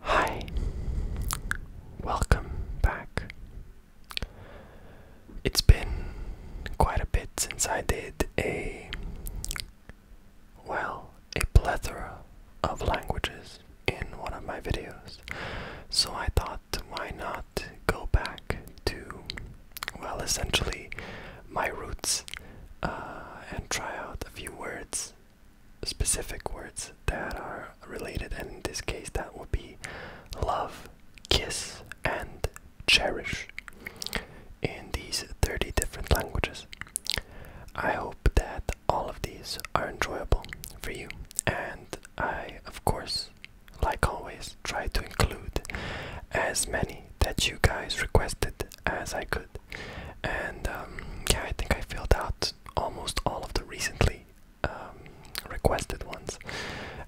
Hi, welcome back. It's been quite a bit since I did a, well, a plethora of languages in one of my videos, so I thought why not go back to, well, essentially my roots uh, and try out a few words specific words that are related, and in this case, that would be love, kiss, and cherish in these 30 different languages. I hope that all of these are enjoyable for you, and I, of course, like always, try to include as many that you guys requested as I could. And um, yeah, I think I filled out almost all of the recently um, requested ones,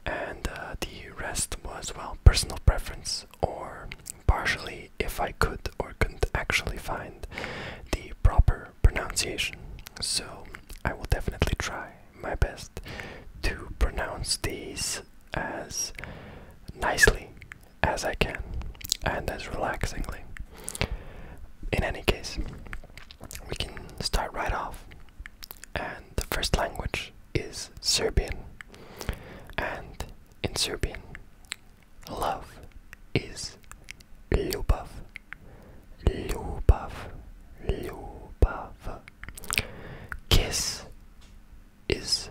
and uh, the rest was well personal preference or partially if I could or couldn't actually find the proper pronunciation. So I will definitely try my best to pronounce these as nicely as I can and as relaxingly. In any case, we can start right off. And the first language is Serbian. And in Serbian, love is ljubav. Ljubav. Ljubav. Kiss is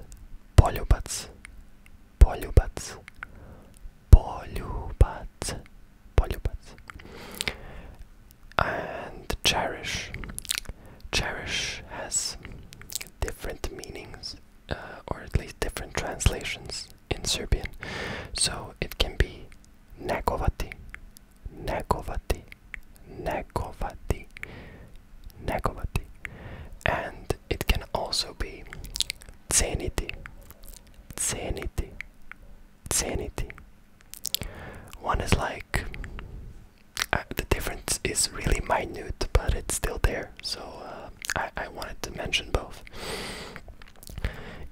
poljubac. Poljubac polюбать, polюбать, and cherish. Cherish has different meanings, uh, or at least different translations in Serbian. So it can be negovati, negovati, negovati, negovati, and it can also be sanity, sanity, sanity. One is like uh, the difference is really minute, but it's still there. So uh, I, wanted to mention both.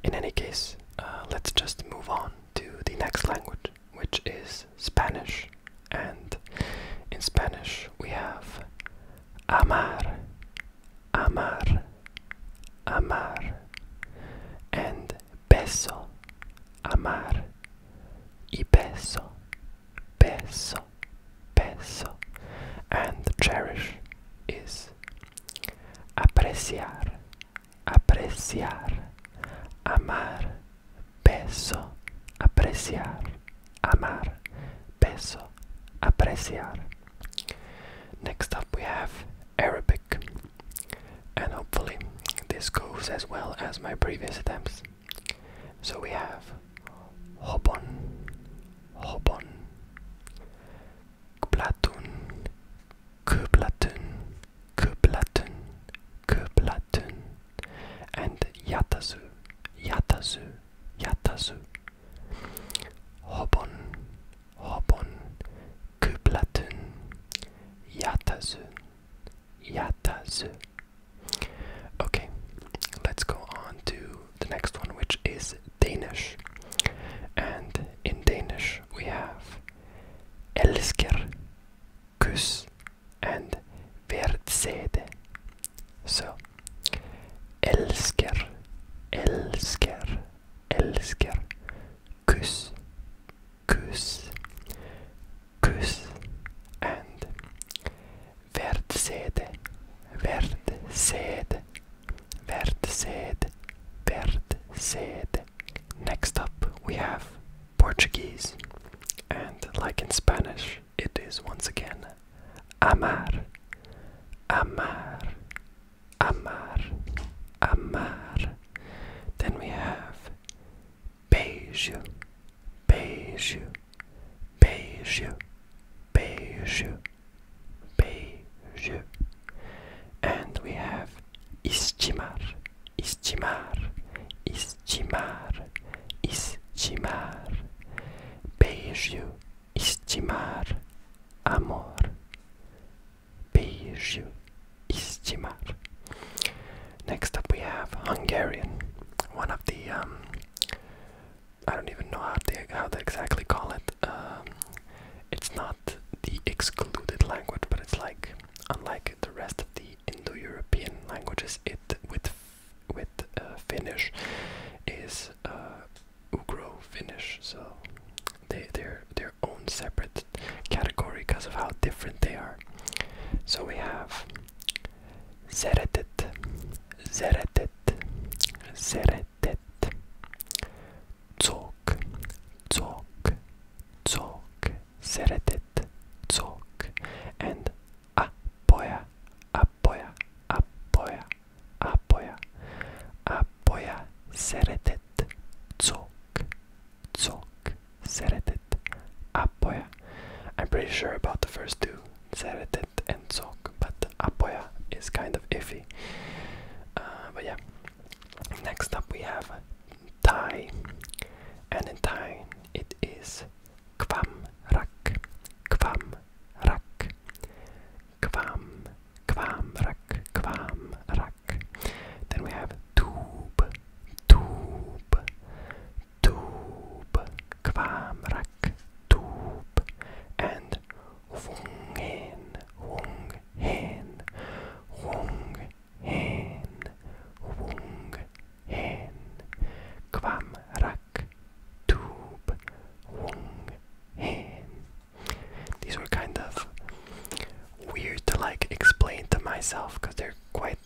In any case, uh, let's just move on to the next language, which is Spanish. And in Spanish, we have amar, amar, amar, and beso, amar, y beso, beso, beso, and cherish is apreciar, apreciar, amar, beso, apreciar, amar, peso, apreciar. Next up we have Arabic, and hopefully this goes as well as my previous attempts. So we have hobon, hobon, kplatun, kplatun, kplatun, kplatun, and yatazu, yatazu, yatazu. Hobon, Hobon, Kuplatun, Yatazu, Yatazu. Okay, let's go on to the next one, which is Danish. And in Danish we have Elsker, Kus, and Verdsede. So Älskar, älskar, älskar. kus, kus, kus, And värdsede, värdsede, värdsede, värdsede. Next up we have Portuguese and like in Spanish it is once again amar, amar, amar, amar. Then we have beijo, beijo, beijo, beijo, beijo. And we have istimar, istimar, istimar, istimar. Beijo, estimar, amor, beijo, estimar. Next up we have Hungarian, one of the, um, I don't even know how they, how they exactly call it. Um, it's not the excluded language, but it's like, unlike the rest of the Indo-European languages, it with with uh, Finnish is Ugro uh, Finnish, so they they're their own separate category because of how different they are. So we have Zeretet, Zeretet, Zeretet, Zok, Zok, Zok, Zeretet, Zok, and Apoya, Apoya, Apoya, apoya, apoya, seretet, zok, zok, seretet, apoya. I'm pretty sure about the first two, seretet and zok, but apoya is kind of iffy. Uh, but yeah, next up we have Thai, and in Thai it is kwam rak, kwam rak, Kvam, kvamrak, kvamrak. Then we have tube, tube, tube, kvamrak, tube, and wungen, wungen, wungen, wungen, kvamrak, Tube Wong Hen. These were kind of weird to like explain to myself because they're quite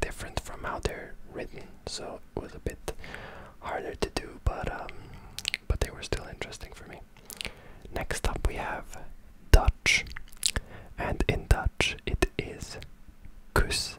different from how they're written, so it was a bit harder to do, but um, but they were still interesting for me. Next up, we have Dutch, and in Dutch it is kus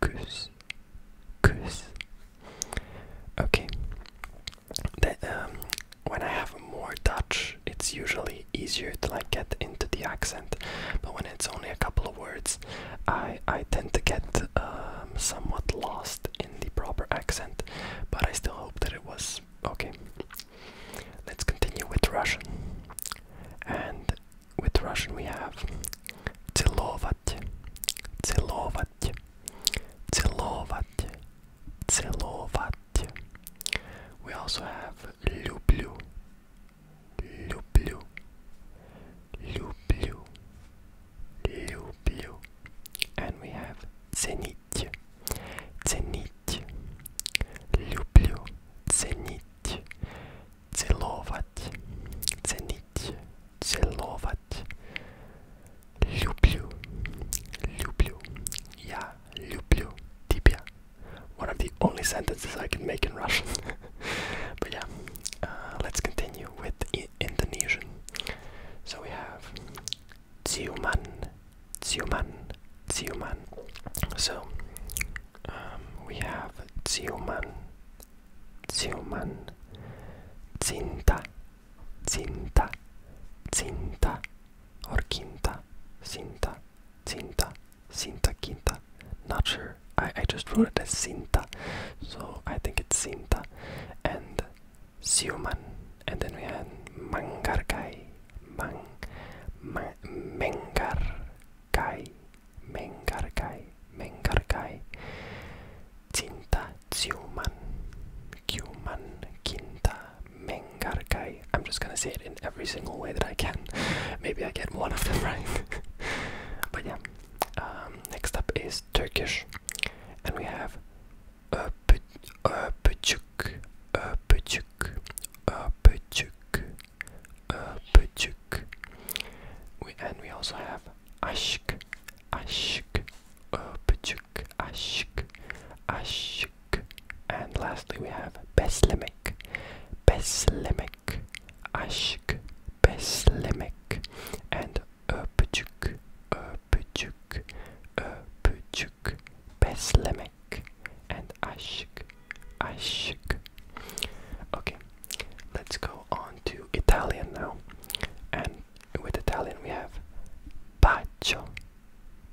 Kus. Kus. Okay. The, um, when I have more Dutch, it's usually easier to like get into the accent. But when it's only a couple of words, I I tend to get um, somewhat lost in the proper accent. But I still hope that it was okay. Let's continue with Russian. And with Russian we have Целовать, целовать, целовать, целовать. We also have люблю, люблю, люблю, люблю. And we have ценить, ценить, люблю, ценить, целовать miłować, cenić, celować. Люблю, люблю, я люблю тебя. One of the only sentences I can make in Russian. but yeah, uh, let's continue with Indonesian. So we have ciuman, ciuman, ciuman. So um, we have ciuman, Zioman Zinta Zinta Zinta Orkinta Zinta Zinta Zinta Quinta Not sure. I, I just wrote it as Zinta. So I think it's Zinta and Zioman and then we have Mangarcai, Mang Ma Mengar Kai Mengarkai Mengarkai Cinta Ciuman Cuman Kinta Mengarkai. I'm just gonna say it in every single way that I can. Maybe I get one of them right. but yeah. Um, next up is Turkish. And we have Öpücük Öpücük Öpücük Öpücük. We and we also have Ashk Ashuk, upchuk, ashuk, ashk. And lastly we have beslemic, beslemic, ashuk, beslemic, and upchuk, upchuk, upchuk, beslemic, and ashuk, ashuk. Okay, Let's go on to Italian now. And with Italian we have Bacio,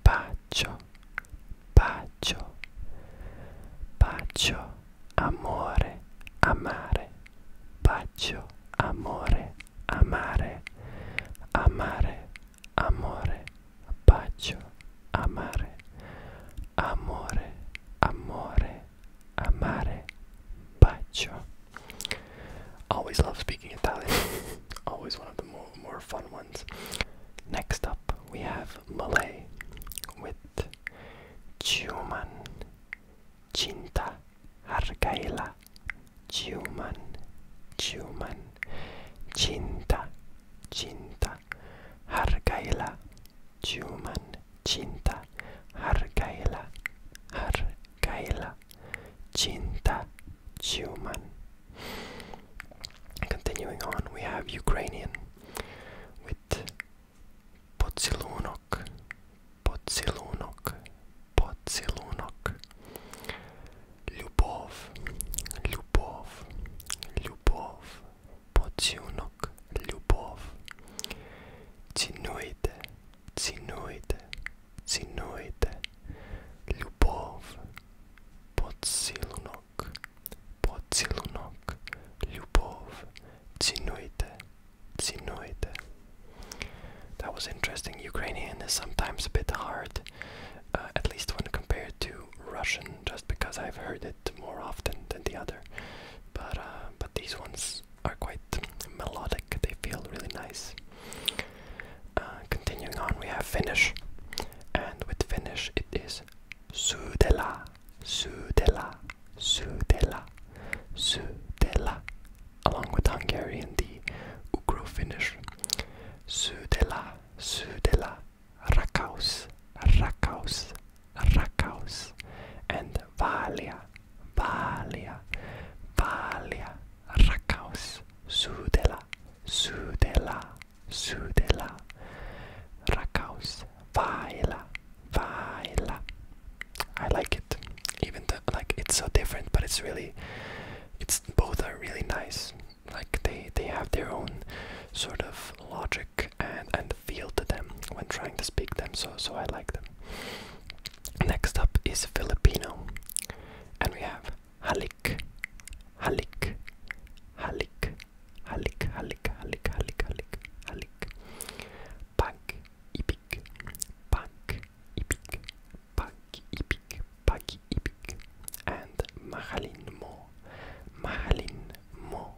Bacio, Bacio, Bacio, Amore, Amare, Bacio, Amore, Amare, Amare, Amore, Bacio, Amare, Amore, Amore, amare bacio. Always love speaking Italian. Always one of the more, more fun ones. Next up, we have Malay with Ciuman Cinta Hargaila. Ciuman Ciuman Cinta Cinta Hargaila cuman cinta hargailah hargailah cinta cuman continuing on we have Ukrainian with Potsilunok Potsilunok Potsilunok Lubov Lubov Lubov Potsilunok Ранок, любов. Цінуйте, цінуйте, цінуйте, любов, поцілунок, поцілунок, любов, цінуйте, That was interesting. Ukrainian is sometimes a bit hard, uh, at least when compared to Russian, just because I've heard it more often than the other. But uh, but these ones are quite melodic, they feel really nice. Uh, continuing on, we have Finnish, and with Finnish it is Sudela, Sudela, Sudela, Sudela, along with Hungarian, the Ugro Finnish. Sudela, Sudela, Rakaus, Rakaus, Rakaus and Valia, Valia, Valia, Rakaus. Sudela, Sudela, Sudela, Rakaus. Vaila, Vaila. I like it, even though like it's so different, but it's really, it's both are really nice. Like they they have their own sort of logic and and feel to them when trying to speak them, so so I like them. Next up is Filipino, and we have halik, halik, halik, halik, halik, halik, halik, halik, halik, pag ibig, pag ibig, pag ibig, pag ibig, and mahalin mo, mahalin mo,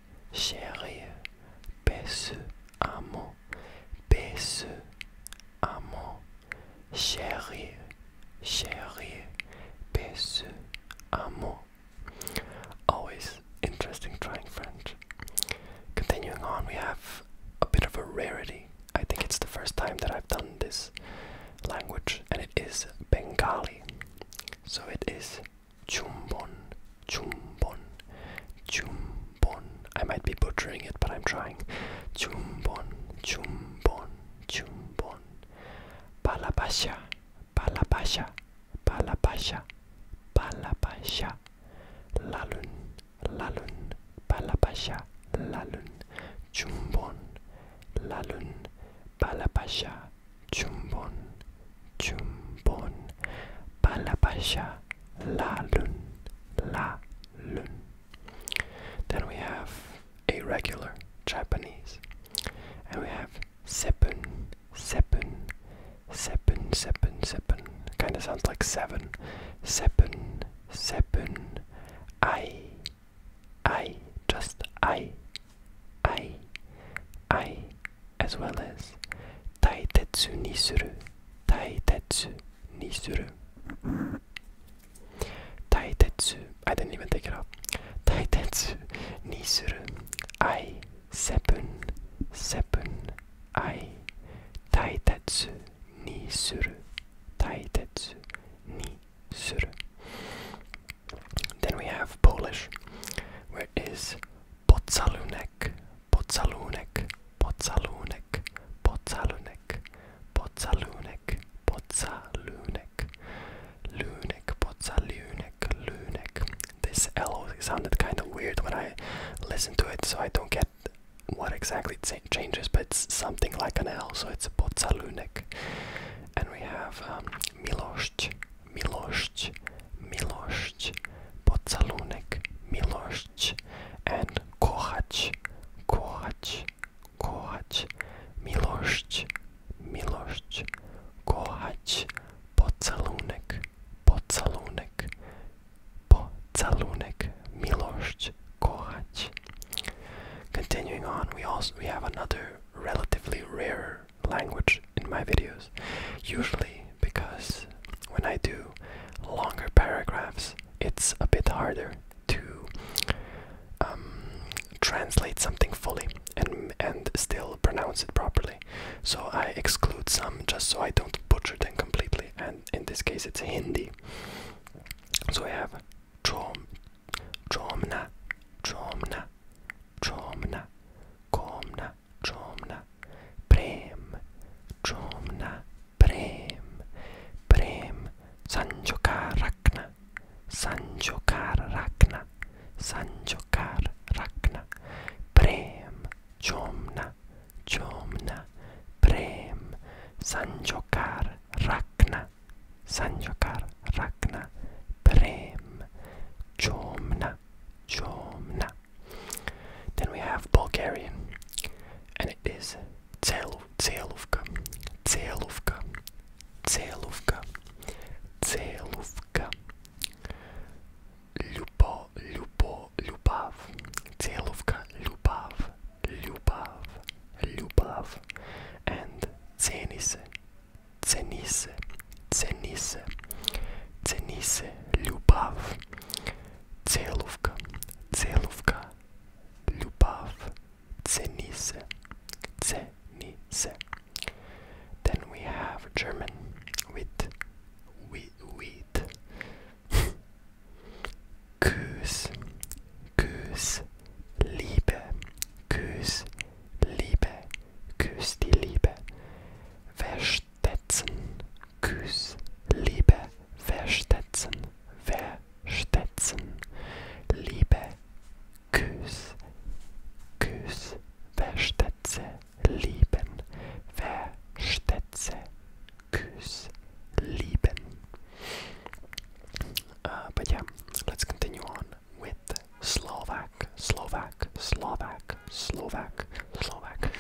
chérie, baisse, amant, baisse, amant, chérie, chérie, baisse, amant. Always interesting trying French. Continuing on, we have a bit of a rarity. I think it's the first time that I've done this language, and it is Bengali. So it is Chumbon, Chumbon, Chumbon. I might be butchering it, but I'm trying. Chumbon, Chumbon, Chumbon. Palapasha, Palapasha, Palapasha, Palapasha. Lalun, Lalun, Palapasha, Lalun. Chumbon, Lalun, Palapasha, Chumbon, Chumbon, Palapasha, La Lun, La Lun. Then we have a regular Japanese. And we have Sepun, Sepun, Sepun, Sepun, Sepun. Kinda sounds like seven. Sepun, Sepun, I, I, just I. I, ai, as well as taitetsu ni suru, taitetsu ni suru. Taitetsu, I didn't even take it off. Taitetsu ni suru, ai, sepun, sepun, ai, taitetsu ni suru, taitetsu ni suru. Then we have Polish, where is Podsalunek, Podsalunek, Podsalunek, Podsalunek, Podsalunek, Podsalunek, Lunek, Podsalunek, Lunek. This L sounded kind of weird when I listened to it, so I don't get what exactly it changes, but it's something like an L, so it's Podsalunek. And we have um, Milosz milość, milość, pocalunek, milość, and kochać, kochać, kochać, milość, milość, kochać, pocalunek, pocalunek, pocalunek, milość, kochać. Continuing on, we also we have another relatively rare language in my videos, usually because when I do longer paragraphs, it's a bit harder to um, translate something fully and and still pronounce it properly. So I exclude some just so I don't butcher them completely. And in this case, it's Hindi. So we have chom, chomna, chomna, chomna, komna, Jomna Prem Jomna Prem Prem Sanjokar Rakna Sanjokar Rakna Sanjokar Rakna Prem Jomna Jomna Prem Sanjokar Rakna Sanjokar Rakna Prem Jomna Chomna. Then we have Bulgarian, and it is Tseluvka. Tseluvka. Tseluvka. Tseluvka. Lupo, Lupo, Lubav. Tseluvka, Lubav, Lubav, Lubav. And Zenice, Cenice, Cenice, Cenice, Ljubav, Celovka, Celovka, Ljubav, Cenice, Cenice. Then we have German with wheat, wheat. Kuss, Kuss, Liebe, Kuss, Liebe, Küss die Liebe. Verstetzen. Küss Liebe. Verstetzen. Verstetzen. Liebe. Küss. Küss. Verstetse. Lieben. Verstetse. Küss. Lieben. Uh, but yeah, let's continue on with Slovak, Slovak, Slovak, Slovak, Slovak,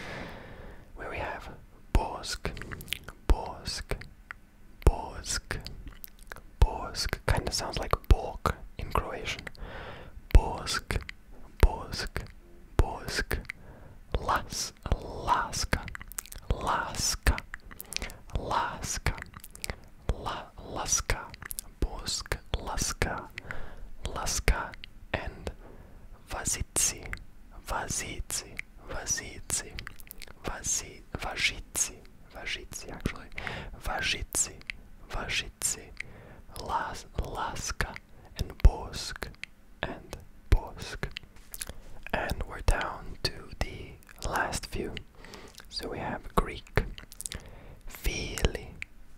where we have Borsk, Borsk, Borsk, Borsk, kind of sounds like Bork in Croatian. Borsk, Borsk, Borsk, Las, Laska, Laska, Laska, La, Laska, Borsk, Laska, Laska, and Vasici, Vasici, Vasici, Vasi, Vajici, Vajici actually, Vajici, Vajici, Las, Laska, and Bosk, and Bosk. And we're down to the last few. So we have Greek, Philly,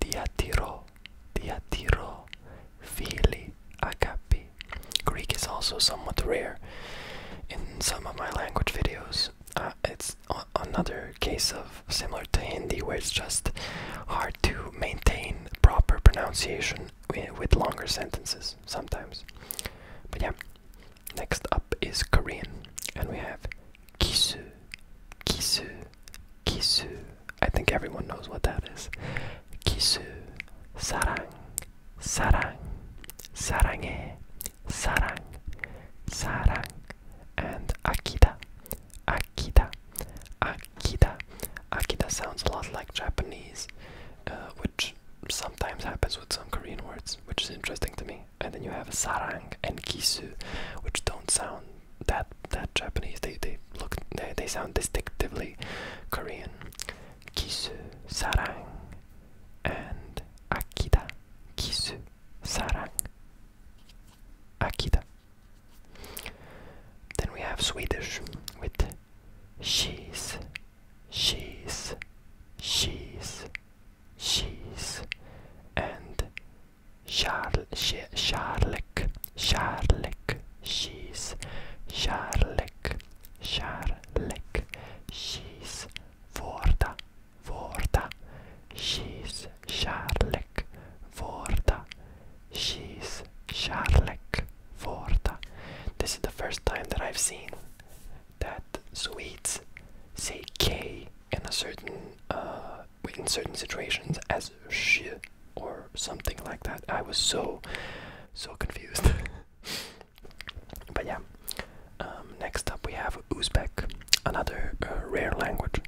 Diatiro, Diatiro, Phili, Agapi. Greek is also somewhat rare in some of my language videos. Uh, it's another case of similar to Hindi where it's just hard to maintain proper pronunciation with longer sentences sometimes. But yeah, next up is Korean and we have kisu, kisu, Kisu. I think everyone knows what that is. Kisu. Sarang. Sarang. Sarange. Sarang. Sarang. And Akita. Akita. Akita. Akita sounds a lot like Japanese, uh, which sometimes happens with some Korean words, which is interesting to me. And then you have sarang and kisu, which don't sound that that Japanese they they look they, they sound distinctively Korean. Kisu sarang and akida. Kisu sarang. Akida. Then we have Swedish with she's, she's, she's, she's, and Charl Charlek, she's Charlek, Charlek, she's Vorda, Vorda, she's Charlek, Vorda, she's Charlek, Vorda. This is the first time that I've seen that Swedes say K in a certain uh, in certain situations as she or something like that. I was so, so confused. but yeah. Um, next up, we have Uzbek, another uh, rare language.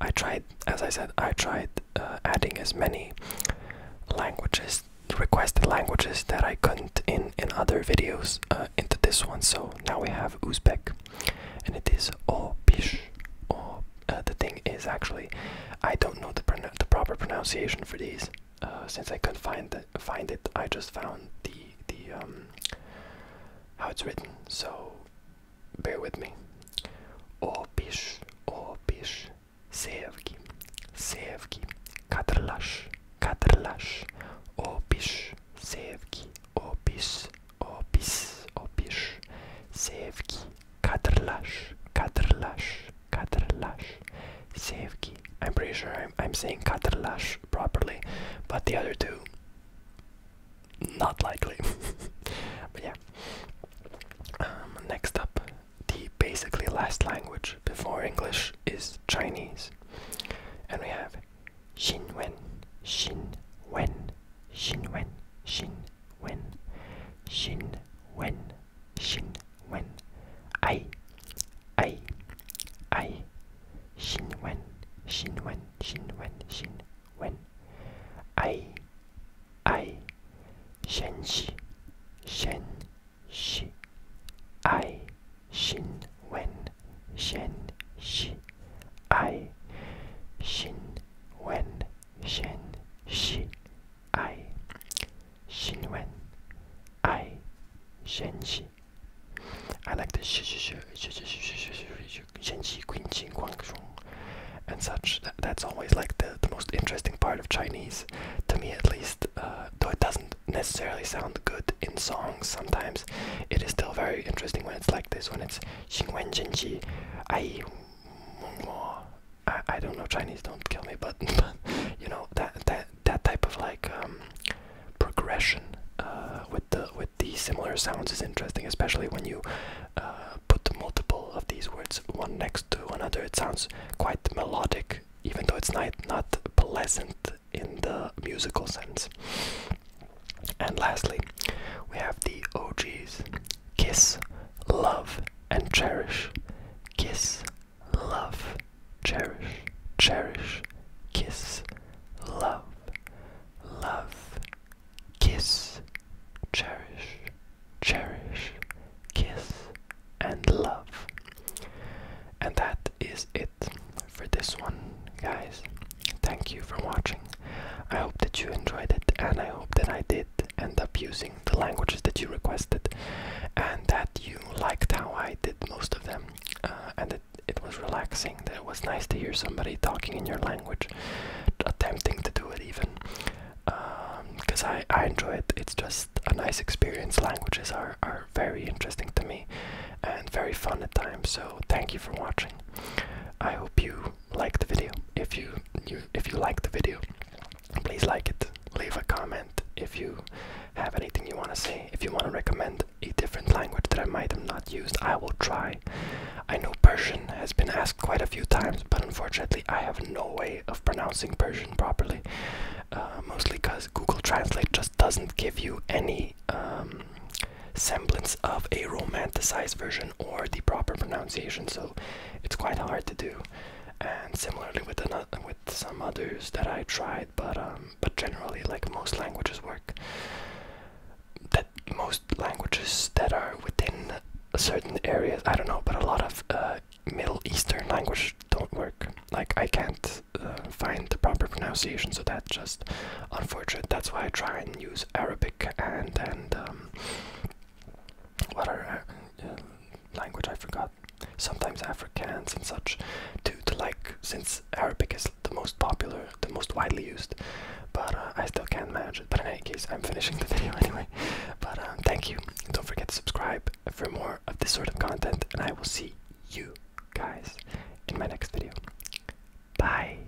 I tried, as I said, I tried uh, adding as many languages, requested languages that I couldn't in in other videos uh, into this one. So now we have Uzbek, and it is oh bish, oh. Uh, the thing is actually, I don't know the, proper pronunciation for these. Uh, since I couldn't find find it, I just found the the um, how it's written. So bear with me. Opish, opish, sevgi, sevgi, katrlash, katrlash, opish, sevgi, opish, opis, opiş, sevgi, kadrlaş, kadrlaş, kadrlaş, sevgi. I'm pretty sure I'm, saying kadrlaş properly, but the other two, not likely. but yeah. Um, next up, the basically last language before English is Chinese, and we have Xinwen, Xinwen, Xinwen, Xin wen shin wen shin wen ai ai ai shin wen shin wen shin wen shin wen ai ai shen shi shen shi ai shin wen shen shi ai shin wen Shen Shi I Xin Wen I Shen Shi I like the Shi Shi Shi Shi Shi Shi Shen Shi Qin Qin Guangzhong and such. That, that's always like the, the most interesting part of Chinese, to me at least. Uh, though it doesn't necessarily sound good in songs sometimes, it is still very interesting when it's like this, when it's Xing Wen Jin Ji, Ai I, I don't know Chinese. Don't kill me, but, you know that that that type of like um, progression uh, with the with the similar sounds is interesting, especially when you uh, put multiple of these words one next to another. It sounds quite melodic, even though it's not not pleasant in the musical sense. And lastly, we have the OGs. Kiss, love, and cherish. Kiss, love, cherish, cherish, kiss, love, love, kiss, cherish, cherish, kiss, and love. And that is it for this one, guys. Thank you for watching. I hope that you enjoyed it and I hope that I did end up using the languages that you requested and that you liked how I did most of them uh, and that it was relaxing, that it was nice to hear somebody talking in your language, attempting to do it even. Because um, I, I enjoy it, it's just a nice experience. Languages are, are very interesting to me and very fun at times, so thank you for watching. I hope you like the video. If you, if you like the video, please like it. Leave a comment if you have anything you want to say. If you want to recommend a different language that I might have not used, I will try. I know Persian has been asked quite a few times, but unfortunately, I have no way of pronouncing Persian properly. Uh, mostly because Google Translate just doesn't give you any um, semblance of a romanticized version or the proper pronunciation, so it's quite hard to do. And similarly with with some others that I tried, but um, but generally, like most languages work, that most languages that are within certain areas, I don't know, but a lot of uh, Middle Eastern language don't work. Like I can't uh, find the proper pronunciation, so that's just unfortunate. That's why I try and use Arabic and and um, what are uh, language I forgot. Sometimes Afrikaans and such, to, to like since Arabic is the most popular, the most widely used. But uh, I still can't manage it. But in any case, I'm finishing the video anyway. But um, thank you. Don't forget to subscribe for more of this sort of content, and I will see you guys in my next video. Bye.